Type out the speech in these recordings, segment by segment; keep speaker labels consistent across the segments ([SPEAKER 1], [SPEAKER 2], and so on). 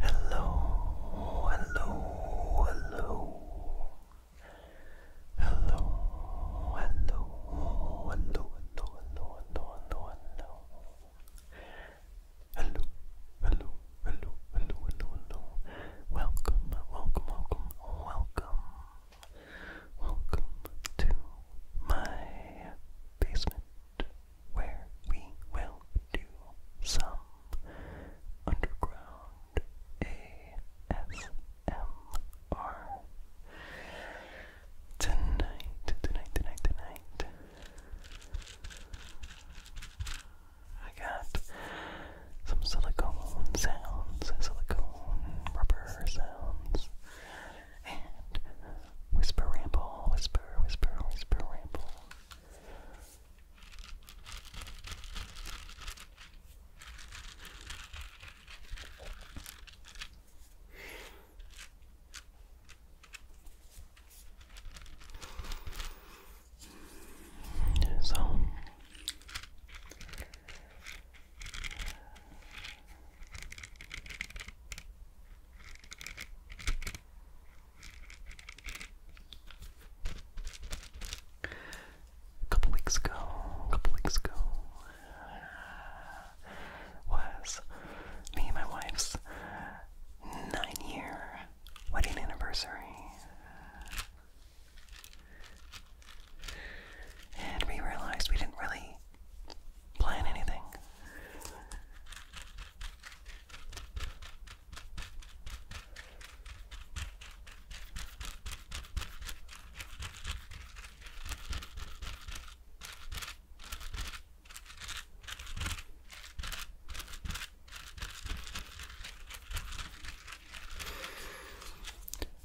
[SPEAKER 1] Hello, hello, hello. Hello, hello, hello, hello, hello, hello, hello, hello. Hello, hello, hello, hello, hello, hello. Welcome, welcome, welcome, welcome. Welcome to my basement where we will do some underground ASMR. Tonight, tonight, tonight, tonight. I got some silicone sounds, silicone rubber sounds and whisper ramble, whisper, whisper, whisper ramble. So a couple weeks ago, a couple weeks ago, was me and my wife's nine-year wedding anniversary, and we realized we didn't really plan anything.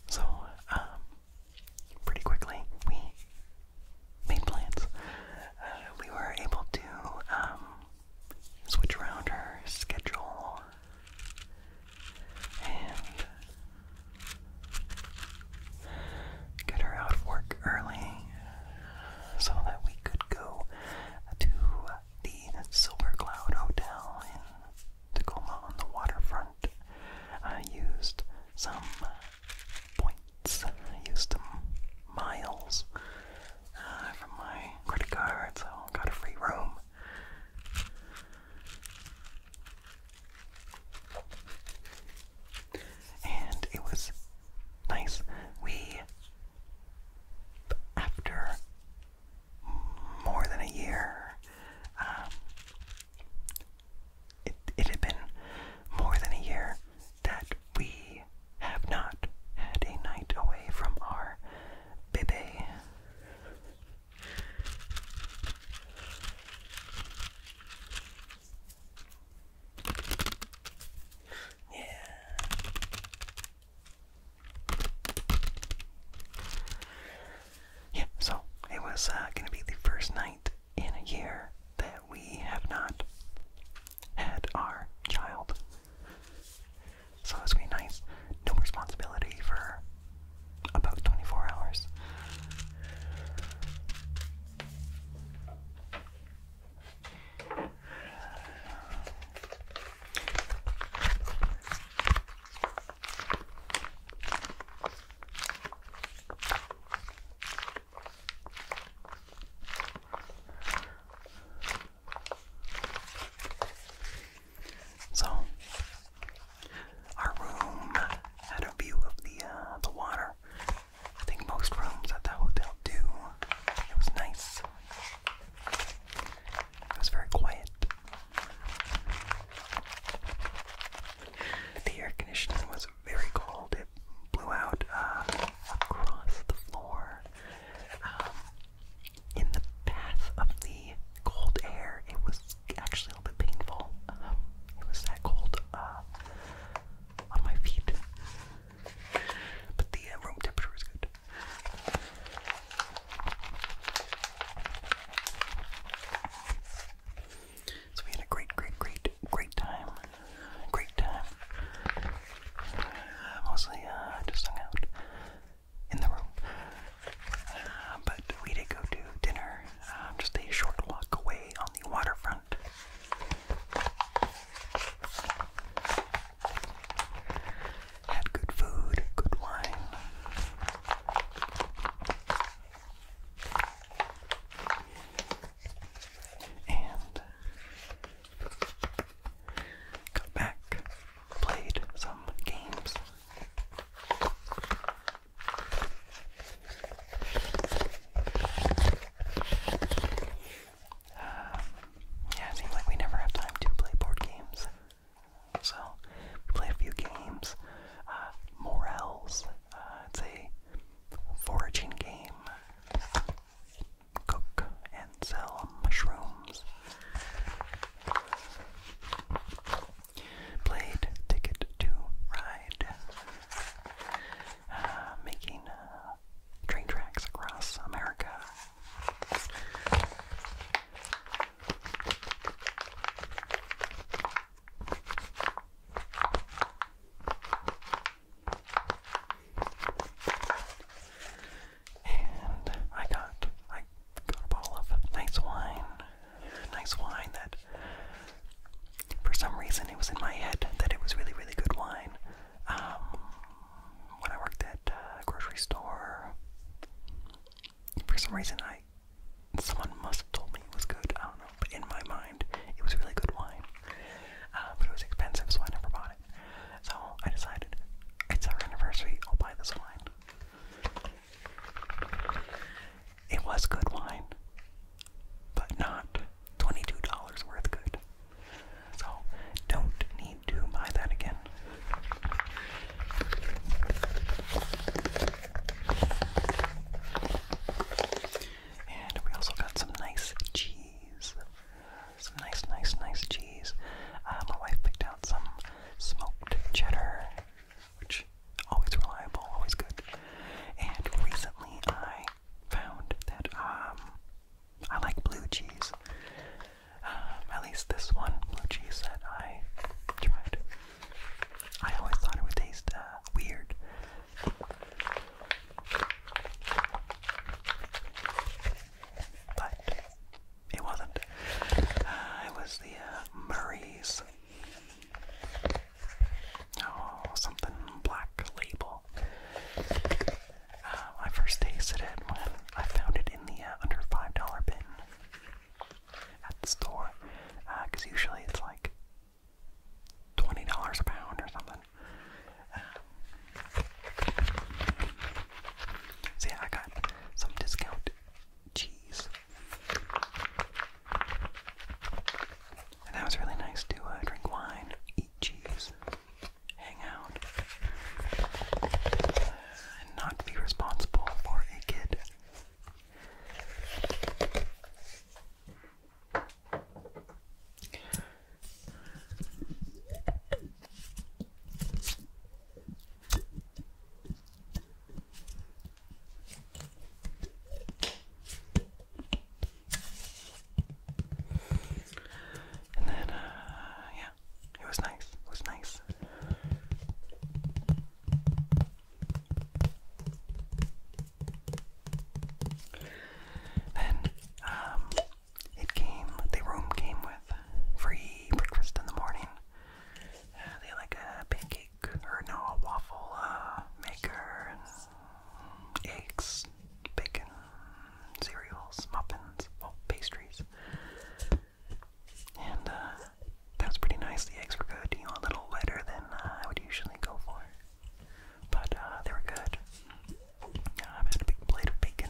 [SPEAKER 1] So, um, pretty quickly, we made plans. Uh, we were able to um, switch around her schedule and get her out of work early so that we could go to the Silver Cloud Hotel in Tacoma on the waterfront. I used some points. I used some miles uh, from my credit card, so I got a free room. And it was nice. We, after more than a year, um, it, it had been more than a year that we have not had a night away from our baby. Yeah. Yeah, so it was uh, gonna be the first night in a year that we have not had our child. So it's gonna be nice. No responsibility for about 24 hours. So our room had a view of the uh, the water. I think most rooms at the hotel do. It was nice. It was very quiet. The air conditioner was very cold. It blew out uh, across the floor. Um, in the path of the cold air, it was actually a little bit painful. Um, it was that cold uh, on my feet. But the uh, room temperature was good. So we had a great, great, great, great time. Great time. Uh, mostly uh, just hung out in the room. Uh, but we did go to dinner, um, just a short walk away on the waterfront. Had good food, good wine. And got back, played some games. Um, yeah, it seems like we never have time to play board games. So we play a few games. Uh, Morels. Uh, it's a foraging game. Cook and sell mushrooms. Played Ticket to Ride. Uh, making uh, train tracks across America. And I got I got a bottle of nice wine. Nice wine that for some reason it was in my head that it was really, really good wine. Um, when I worked at a uh, grocery store for some reason I someone must have told me it was good. I don't know, but in my mind it was really good wine. Uh, but it was expensive, so I never bought it. So I decided it's our anniversary. I'll buy this wine. It was good wine, but not twenty-two dollars worth good. So don't need to buy that again. And we also got some nice cheese. Some nice, nice, nice cheese. Uh, my wife picked out some smoked cheddar, which always reliable, always good. And recently I found that um, I like blue cheese. Um, at least this one blue cheese I tried. I always thought it would taste uh, weird. But it wasn't. Uh, it was the uh, Murray's. Oh, something black label. Uh, I first tasted it when I found it in the uh, under $5 bin at the store because uh, usually it's like $20 a pound or something. Um, I got some discount cheese. And that was really nice to uh, drink wine, eat cheese, hang out and not be responsible for a kid. And then, uh, yeah, it was nice. It was nice. Then, um, it came, the room came with free breakfast in the morning. Uh, they like a pancake, or no, a waffle uh, maker, eggs, bacon, cereals, muffins, well, pastries. And uh, that was pretty nice. The eggs were good, a little lighter than uh, I would usually go for. But uh, they were good. Uh, I've had a big plate of bacon.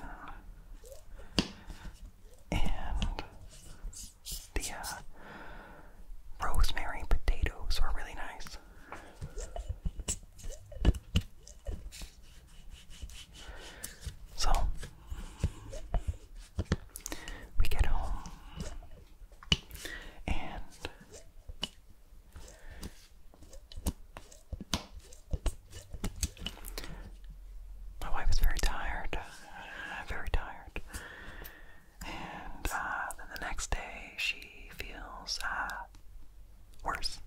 [SPEAKER 1] And the rosemary potatoes were really nice. So we get home and my wife is very tired, very tired. And uh, then the next day she feels uh, worse.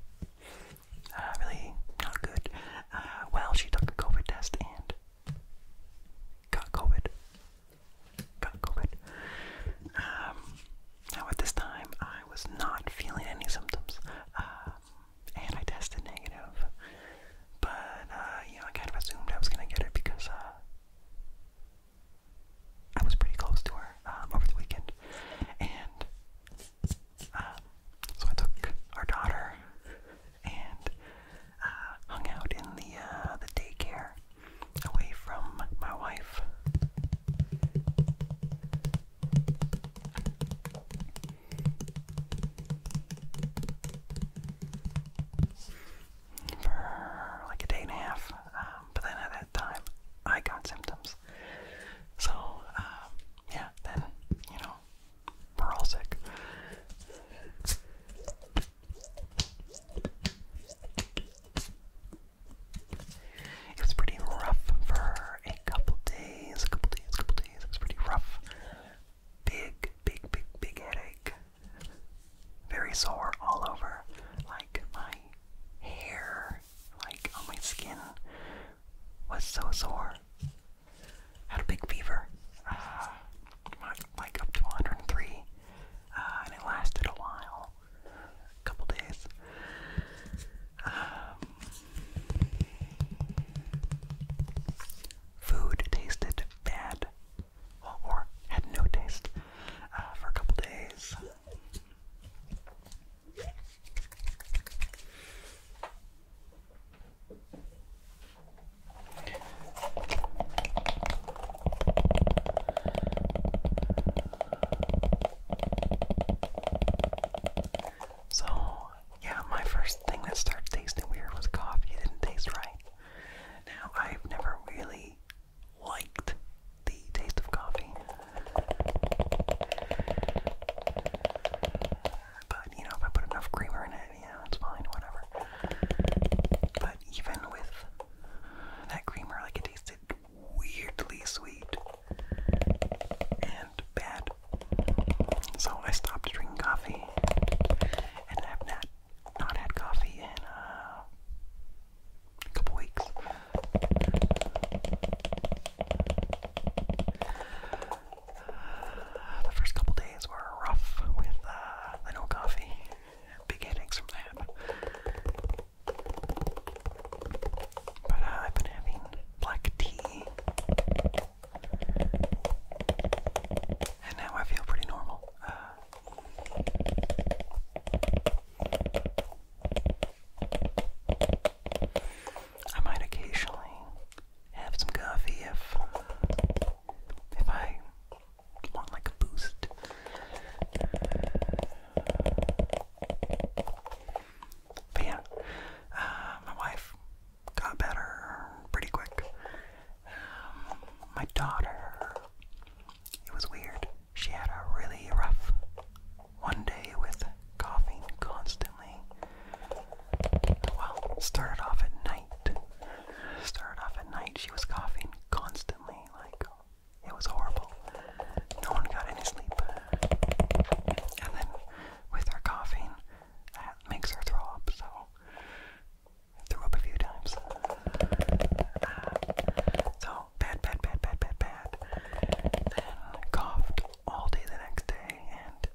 [SPEAKER 1] Uh, really not good. Uh, well, she took a COVID test and got COVID. Got COVID. Um, now, at this time, I was not feeling any symptoms, um, and I tested negative. But, uh, you know, I kind of assumed I was going to get it because I was pretty close to her um, over the weekend. And um, so I took our daughter and uh, hung out in the uh, the daycare away from my wife. For like a day and a half, um, but then at that time I got symptoms. So, um, yeah, then, you know, we're all sick. It was pretty rough for a couple days, a couple days, couple days. It was pretty rough. Big, big, big, big headache. Very sore all over. Like my hair, like on my skin was so sore. Had a big fever, uh, like up to 103, uh, and it lasted a while, a couple days. Um, food tasted bad, or had no taste uh, for a couple days. So, yeah, my first thing that started tasting weird was coffee. It didn't taste right. Now, I've never really liked the taste of coffee. But you know, if I put enough creamer in it, you it's fine, whatever. But even with that creamer, like it tasted weirdly sweet and bad. So I stopped drinking coffee, and I've not not had coffee in uh, a couple weeks. the first couple days were rough with uh, coffee. Big headaches that. But uh, I've been having black tea. And now I feel pretty normal. Uh, I might occasionally have some coffee if if I want like a boost. But yeah, uh, my wife got better pretty quick. Um, my daughter, it was weird. She had a really rough one day with coughing constantly. Well, started off at night. Started off at night, she was coughing constantly. Like, it was horrible. No one got any sleep. And then, with her coughing, that makes her throw up, so. threw up a few times. Uh, so smell bad, bad, bad, bad, bad, bad. Then coughed all day the next day, and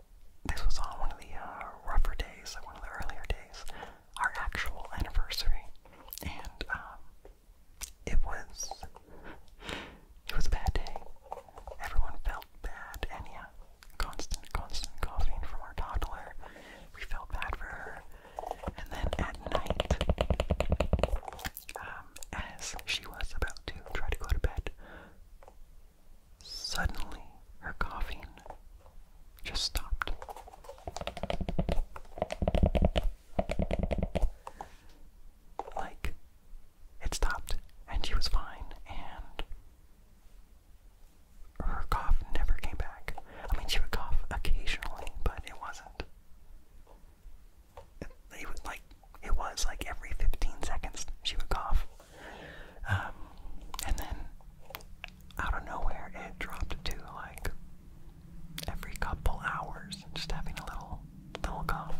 [SPEAKER 1] this was on one of the uh, rougher days, like one of the earlier days, our actual anniversary, and um, it was it was a bad day. Everyone felt bad, and yeah, constant, constant coughing from our toddler. We felt bad for her, and then at night, um, as she was about to try to go to bed, suddenly her coughing just stopped. Like, it stopped, and she was fine, and her cough never came back. I mean, she would cough occasionally, but it wasn't it was like it was like every 15 seconds she would cough. Um, and then out of nowhere, it dropped to like every couple hours, just having a little little cough.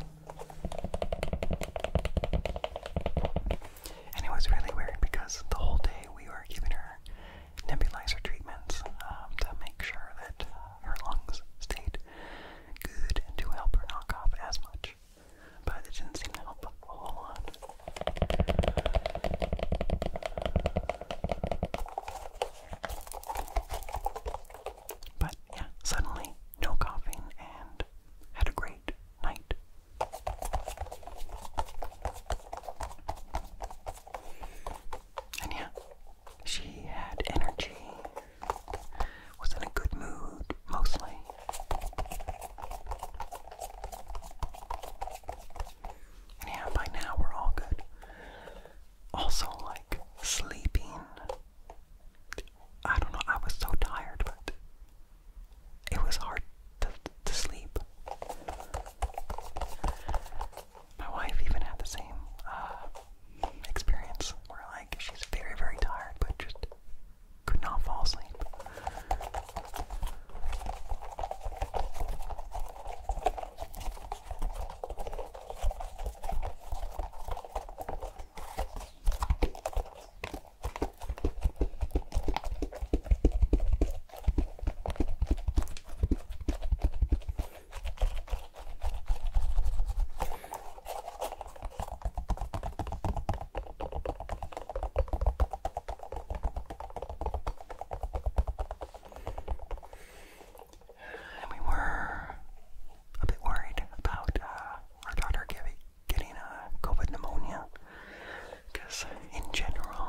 [SPEAKER 1] And it was really weird because the whole day we were giving her nebulizer treatments um, to make sure that her lungs stayed good to help her not cough as much. But it didn't seem to help a whole But yeah, suddenly no coughing and had a great night. And yeah, she had energy, was in a good mood mostly. yeah, by now we're all good. Also, like sleeping. I don't know, I was so tired, but it was hard to sleep my wife even had the same uh, experience where, like, she's very, very tired, but just could not fall asleep. And we were a bit worried about uh, our daughter giving, getting a uh, COVID pneumonia because, in general,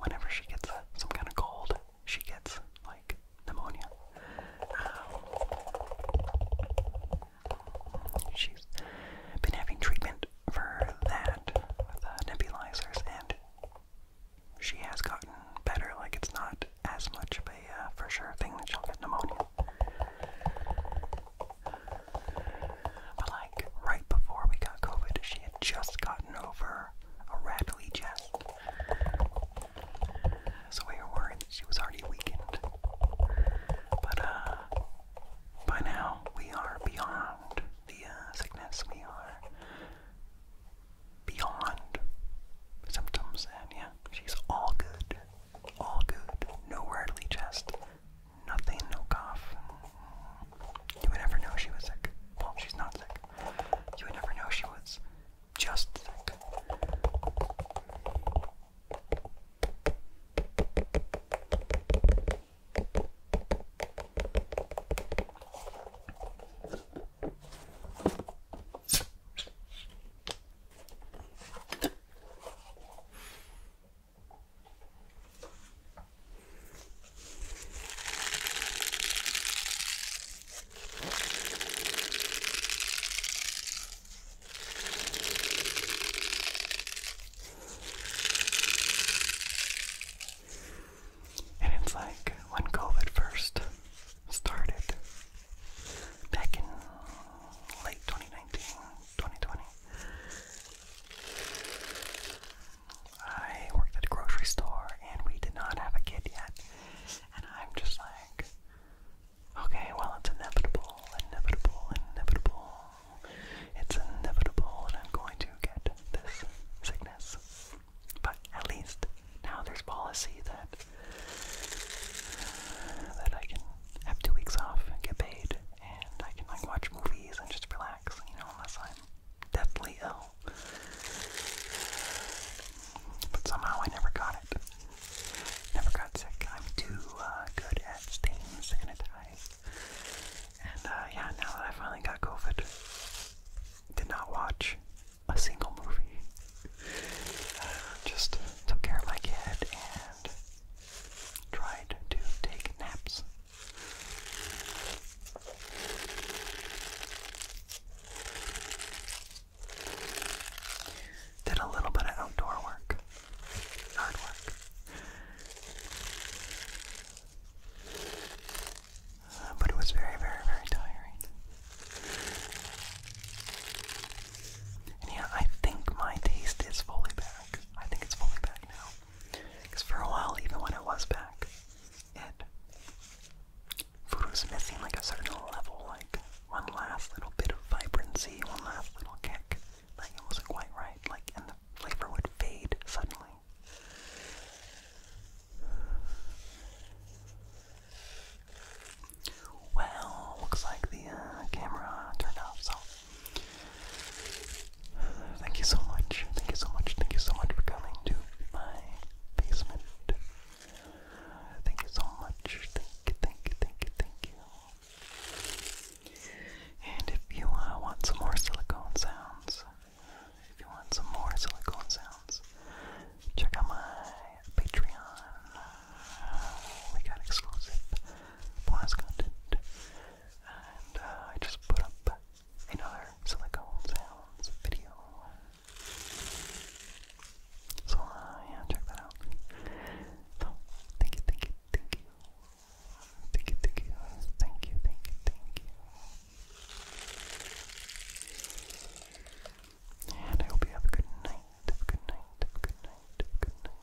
[SPEAKER 1] whenever she gets uh, some kind of cold, she gets like pneumonia. Um, she's been having treatment for that with uh, nebulizers, and she has gotten better. Like it's not as much of a uh, for sure thing that she'll get pneumonia. But like right before we got COVID, she had just gotten over a rattly chest. So we were worried she was already weakened. But uh, by now we are beyond the uh, sickness. We are beyond symptoms and yeah, she's all good. All good. No earthly chest. Nothing, no cough. You would never know she was sick. she's not sick. You would never know she was just and it's like when COVID first started back in late 2019, I worked at a grocery store and we did not have a kid yet. And I'm just like, okay, well, it's inevitable, inevitable, inevitable. It's inevitable that I'm going to get this sickness. But at least now there's policy that that I can have two weeks off and get paid and I can like watch movies and just relax, you know, unless I'm deathly ill. But somehow I never got it. Never got sick. I'm too uh, good at staying sanitized. And uh, yeah, now that I finally got COVID, did not watch a single movie. Just took care of my kid and tried to take naps did a little bit of outdoor work, yard work. Uh, but it was very, very, very tiring. yeah, I think my taste is fully back. I think it's fully back now. Because for a while, even when it was back, it. Voodoo is missing like a certain level, like one last little bit of vibrancy, one last little kick. Like it wasn't quite right, like, and the flavor would fade suddenly. Well, looks like the uh, camera turned off, so Thank you so much. Thank you so much. Thank you so much for coming to my basement. Thank you so much. Thank you, thank you, thank you, thank you. And if you uh, want some more silicone sounds, if you want some more silicone sounds, check out my Patreon. we got exclusive bonus content. And uh, I just put up another silicone sounds video. So uh, yeah, check that out. thank you, thank you, thank you, thank you, thank you, thank you, thank you, thank you. And I hope you have a good night, have a good night, have a good night, have a good night.